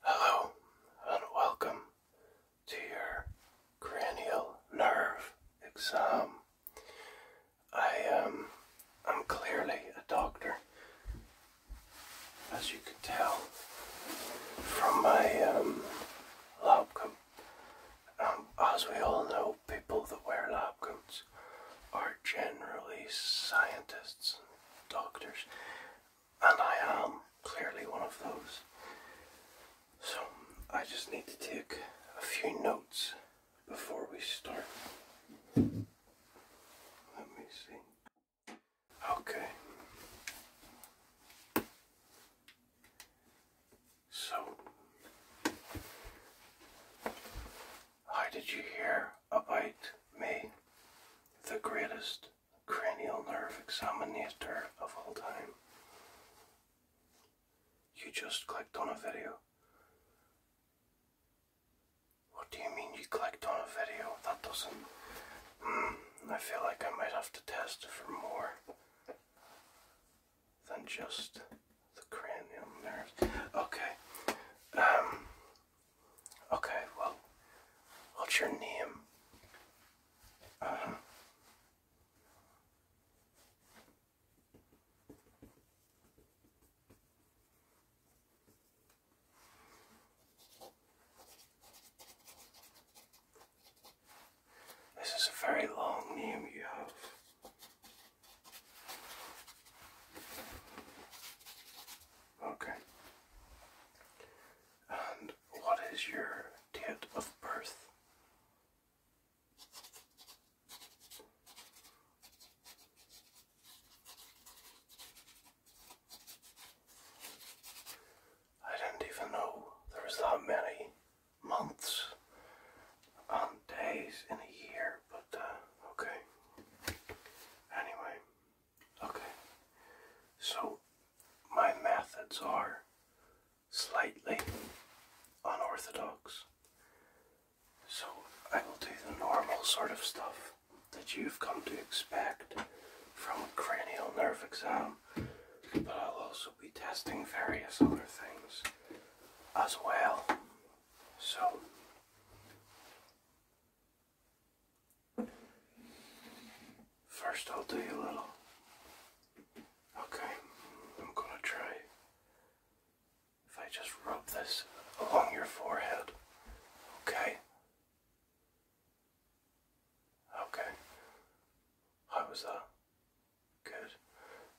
Hello and welcome to your cranial nerve exam. I am um, clearly a doctor, as you can tell from my um, lab coat. Um, as we all know, people that wear lab coats are generally scientists and doctors and I am clearly one of those. So I just need to take a few notes before we start. Let me see. Okay. So, how did you hear about me, the greatest cranial nerve examiner of all time. You just clicked on a video. What do you mean you clicked on a video? That doesn't. Hmm, I feel like I might have to test for more than just the cranial nerve. Okay. Um, Okay, well, what's your name? This is a very long name you have. Okay. And what is your date of birth? I didn't even know there was that many months and days in a year, but uh, okay. Anyway, Okay, so my methods are slightly unorthodox. So I will do the normal sort of stuff that you've come to expect from a cranial nerve exam, but I'll also be testing various other things as well. So First, I'll do a little. Okay, I'm gonna try. If I just rub this along your forehead, okay? Okay. How was that? Good.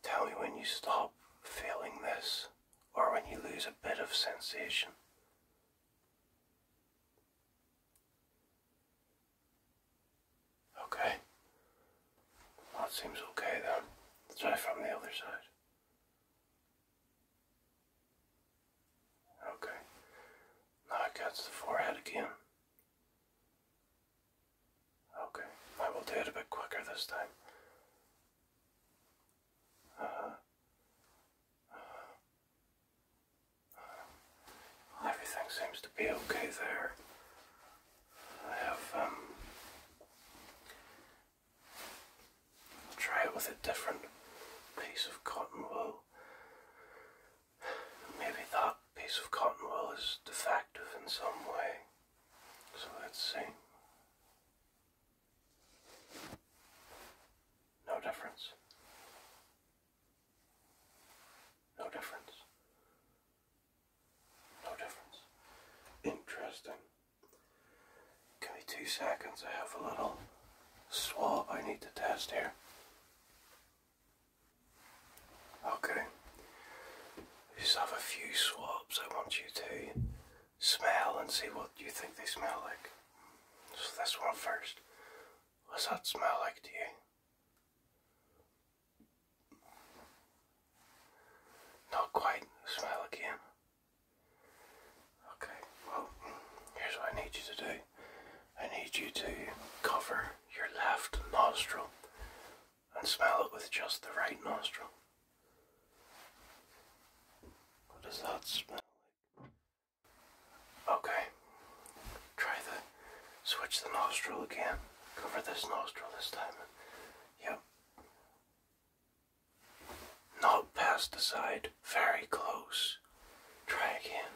Tell me when you stop feeling this or when you lose a bit of sensation. Okay. That seems okay then. Let's try from the other side. Okay. Now it gets the forehead again. Okay. I will do it a bit quicker this time. Uh, uh, everything seems to be okay there. I have, um, try it with a different piece of cotton wool. Maybe that piece of cotton wool is defective in some way. So let's see. No difference. No difference. No difference. Interesting. Give me two seconds. I have a little swab I need to test here. Okay. I just have a few swabs I want you to smell and see what you think they smell like. So this one first. What's that smell like to you? Not quite. Smell again. Okay, well, here's what I need you to do. I need you to cover your left nostril and smell it with just the right nostril. What does that smell like? Okay. Try the switch the nostril again. Cover this nostril this time. Yep. Not past the side. Very close. Try again.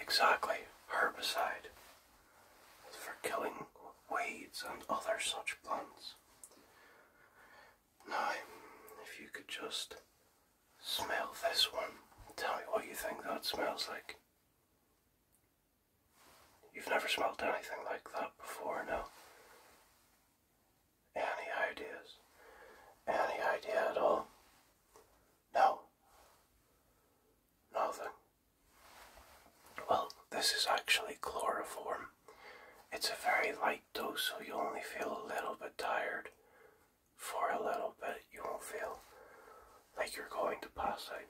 Exactly. Herbicide. For killing weeds and other such plants. Now, if you could just smell this one, tell me what you think that smells like. You've never smelled anything like that before, no? Any ideas? Any idea at all? No? Nothing? Well, this is actually chloroform. It's a very light light so you only feel a little bit tired for a little bit. You won't feel like you're going to pass out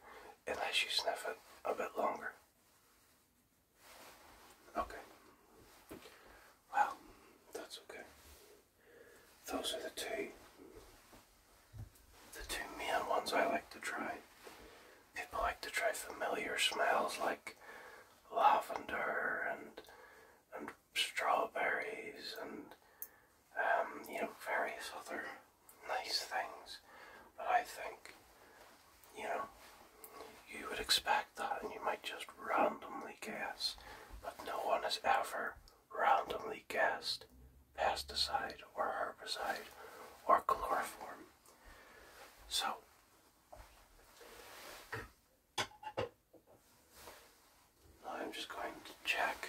unless you sniff it a bit longer. Okay. Well, that's okay. Those are the two the two main ones I like to try. People like to try familiar smells like lavender and and strawberries and um, you know various other nice things. But I think you know you would expect that, and you might just randomly guess. But no one has ever randomly guessed pesticide or herbicide or chloroform. So I'm just going to check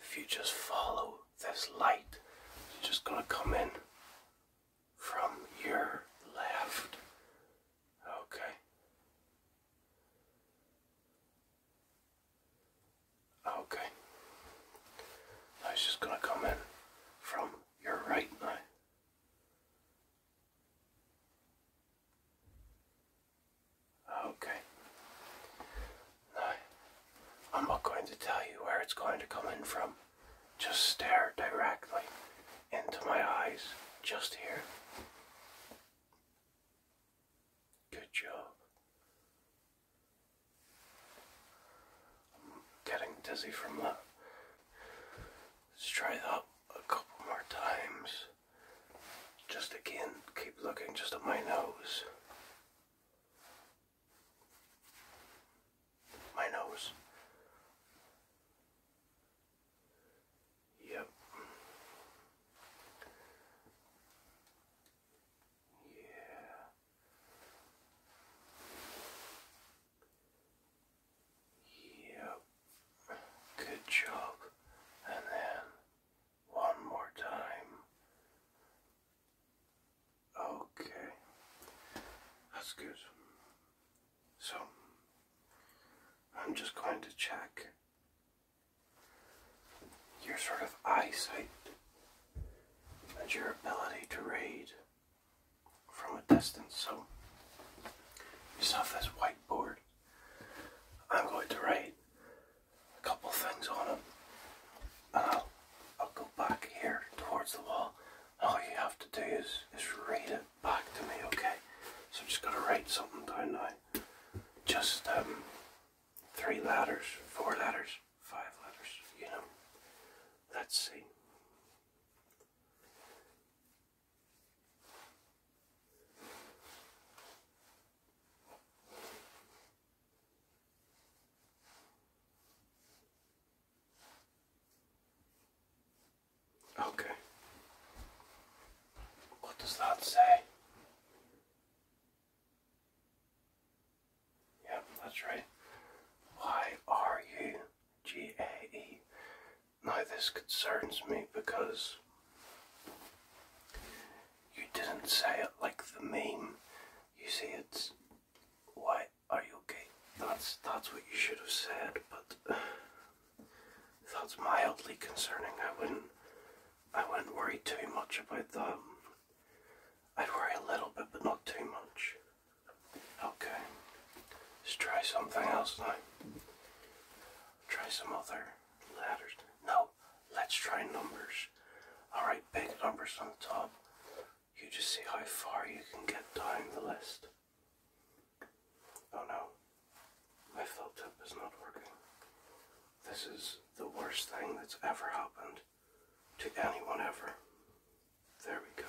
if you just follow this light. It's just going to come in from your left. Okay. Okay. Now it's just going to come in from your right now. Okay. Now, I'm not going to tell you where it's going to come in from. Just stare directly into my eyes, just here. Good job. I'm getting dizzy from that. Let's try that a couple more times. Just again, keep looking just at my nose. My nose. Yep. Yeah. Yep. Good job. And then one more time. Okay. That's good. So, I'm just going to check your sort of eyesight and your ability to read from a distance. So, just off this whiteboard, I'm going to write a couple things on it, And I'll, I'll go back here towards the wall. all you have to do is, is read it back to me, okay? So I'm just going to write something down now. Just um, three letters, four letters, five letters, you know. Let's see. Okay. What does that say? Yep, that's right. Why are you G-A-E. Now this concerns me because you didn't say it like the meme. You see, it's why are you okay? That's that's what you should have said, but that's mildly concerning. I wouldn't I wouldn't worry too much about that. I'd worry a little bit, but not too much. Okay, let's try something else now. Try some other ladders. No, let's try numbers. Alright, big numbers on the top. You just see how far you can get down the list. Oh no, my fill tip is not working. This is the worst thing that's ever happened to anyone ever. There we go.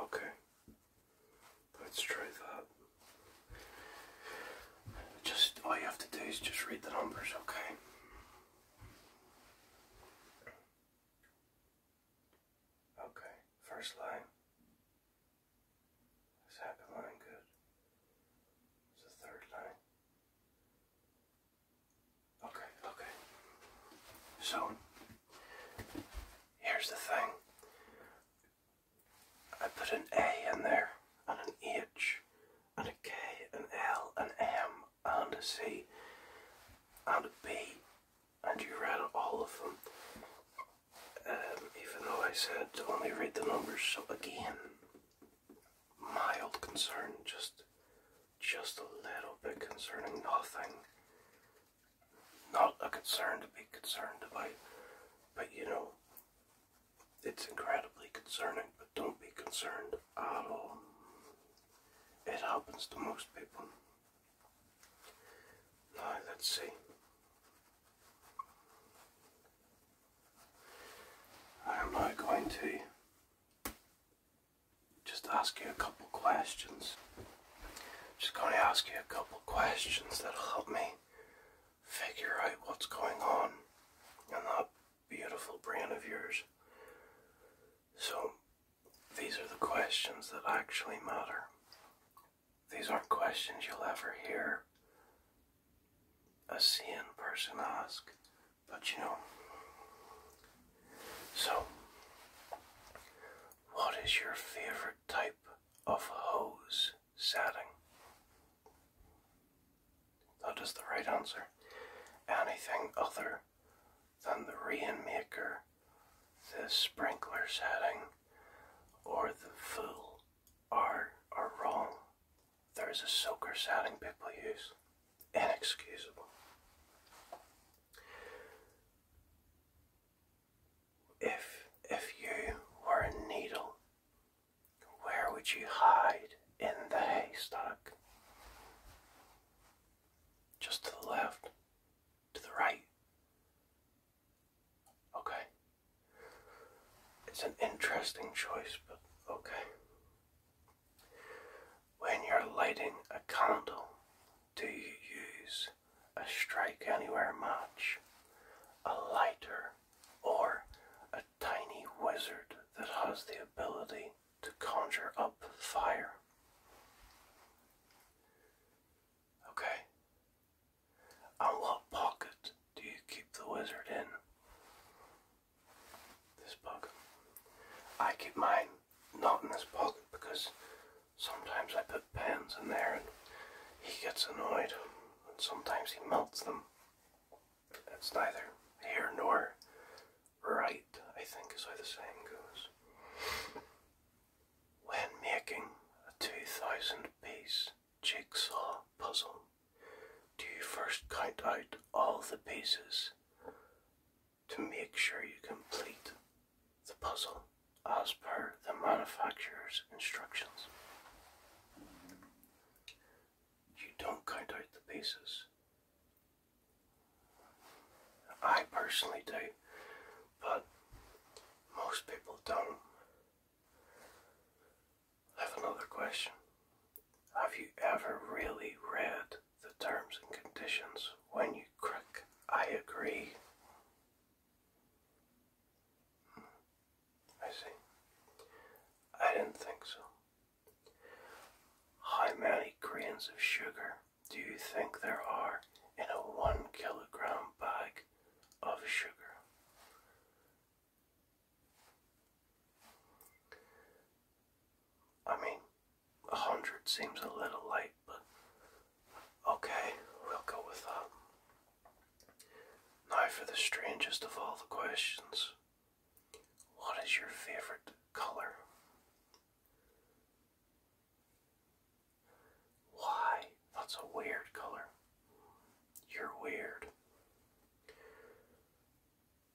Okay, let's try that. Just all you have to do is just read the numbers, okay? Okay, first line. Second line, good. It's the third line. Okay, okay. So, here's the thing I put an A in there, and an H, and a K, an L, an M, and a C, and a B, and you read all of them. Um, even though I said to only read the numbers, so again, mild concern, just just a little bit concerning nothing. Not a concern to be concerned about, but you know, it's incredibly concerning, but don't be concerned at all. It happens to most people. Now, let's see. I am now going to just ask you a couple questions. Just going to ask you a couple questions that'll help me figure out what's going on in that beautiful brain of yours. So, these are the questions that actually matter. These aren't questions you'll ever hear a sane person ask. But you know. So, what is your favorite type of hose setting? That is the right answer. Anything other than the Rainmaker, the sprinkler setting, or the full are, are wrong there is a soaker. sounding people use. Inexcusable. If if you were a needle, where would you hide in the haystack? Just to the left? To the right? Okay. It's an interesting choice, but okay. When you're lighting a candle, do you use a strike anywhere match, a lighter, or a tiny wizard that has the ability to conjure up fire? Okay. And what pocket do you keep the wizard in? This pocket. I keep mine not in this pocket because sometimes I put pens in there and he gets annoyed and sometimes he melts them. It's neither here nor right, I think is how the saying goes. When making a 2000 piece jigsaw puzzle, do you first count out all the pieces to make sure you complete the puzzle as per the manufacturer's instructions. You don't count out the pieces. I personally do, but most people don't. I have another question. Have you ever really read the terms and conditions when you click I agree? Hmm. I see. I didn't think so. How many grains of sugar do you think there are in a one kilogram bag of sugar? I mean, a hundred seems a little light, but okay, we'll go with that. Now for the strangest of all the questions. What is your favorite color? Why? That's a weird color. You're weird.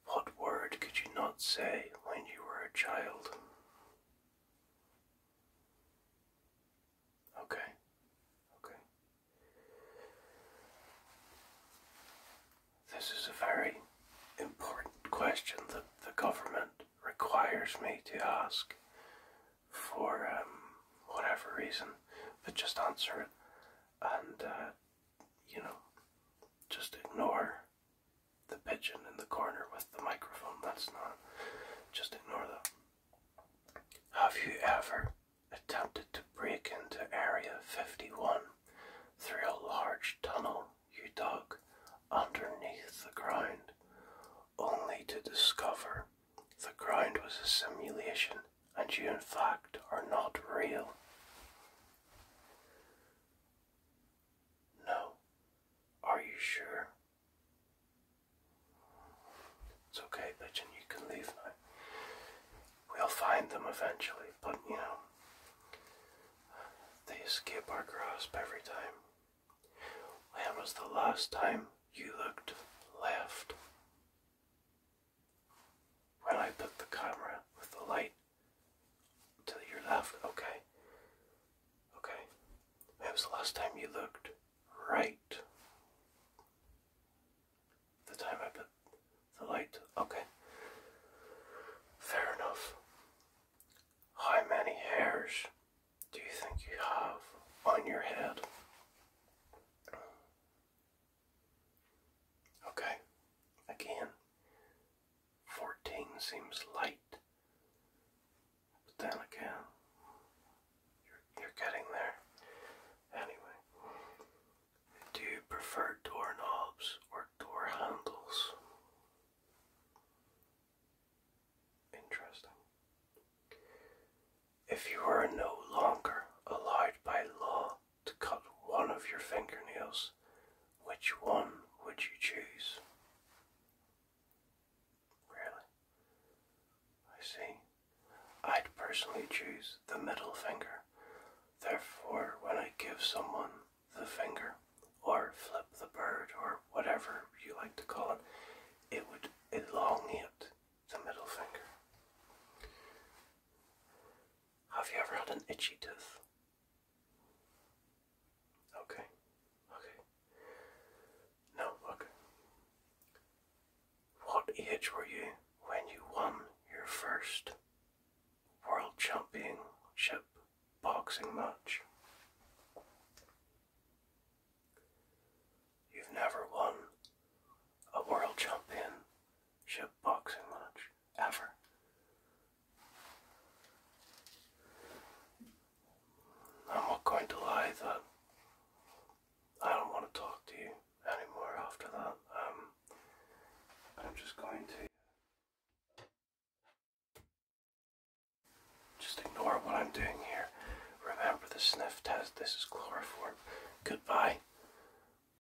What word could you not say when you were a child? Okay, okay. This is a very important question that the government requires me to ask for um, whatever reason, but just answer it and uh, you know, just ignore the pigeon in the corner with the microphone. That's not, just ignore that. Have you ever attempted to break into Area 51 through a large tunnel you dug underneath the ground, only to discover the ground was a simulation and you in fact are not real? No. Are you sure? It's okay, Pigeon, you can leave We'll find them eventually, but you know, they escape our grasp every time. When was the last time you looked left? When I put the camera with the light to your left, okay. Okay. When was the last time you looked right? The time I put the light, okay. Fair enough. How many hairs do you think you have on your head? Okay, again, 14 seems light, but then again, you're, you're getting there. Anyway, do you prefer doorknobs or door handles? Interesting. If you are no longer allowed by law to cut one of your fingernails, which one would you choose? Really? I see. I'd personally choose the middle finger. Therefore, when I give someone the finger, or flip the bird, or whatever you like to call it, it would elongate the middle finger. Have you ever had an itchy tooth? Okay. Okay. No, okay. What age were you when you won your first World Championship boxing match? You've never won a World Championship boxing match ever. I'm not going to lie though. I don't want to talk to you anymore after that. Um, I'm just going to just ignore what I'm doing here. Remember the sniff test. This is chloroform. Goodbye.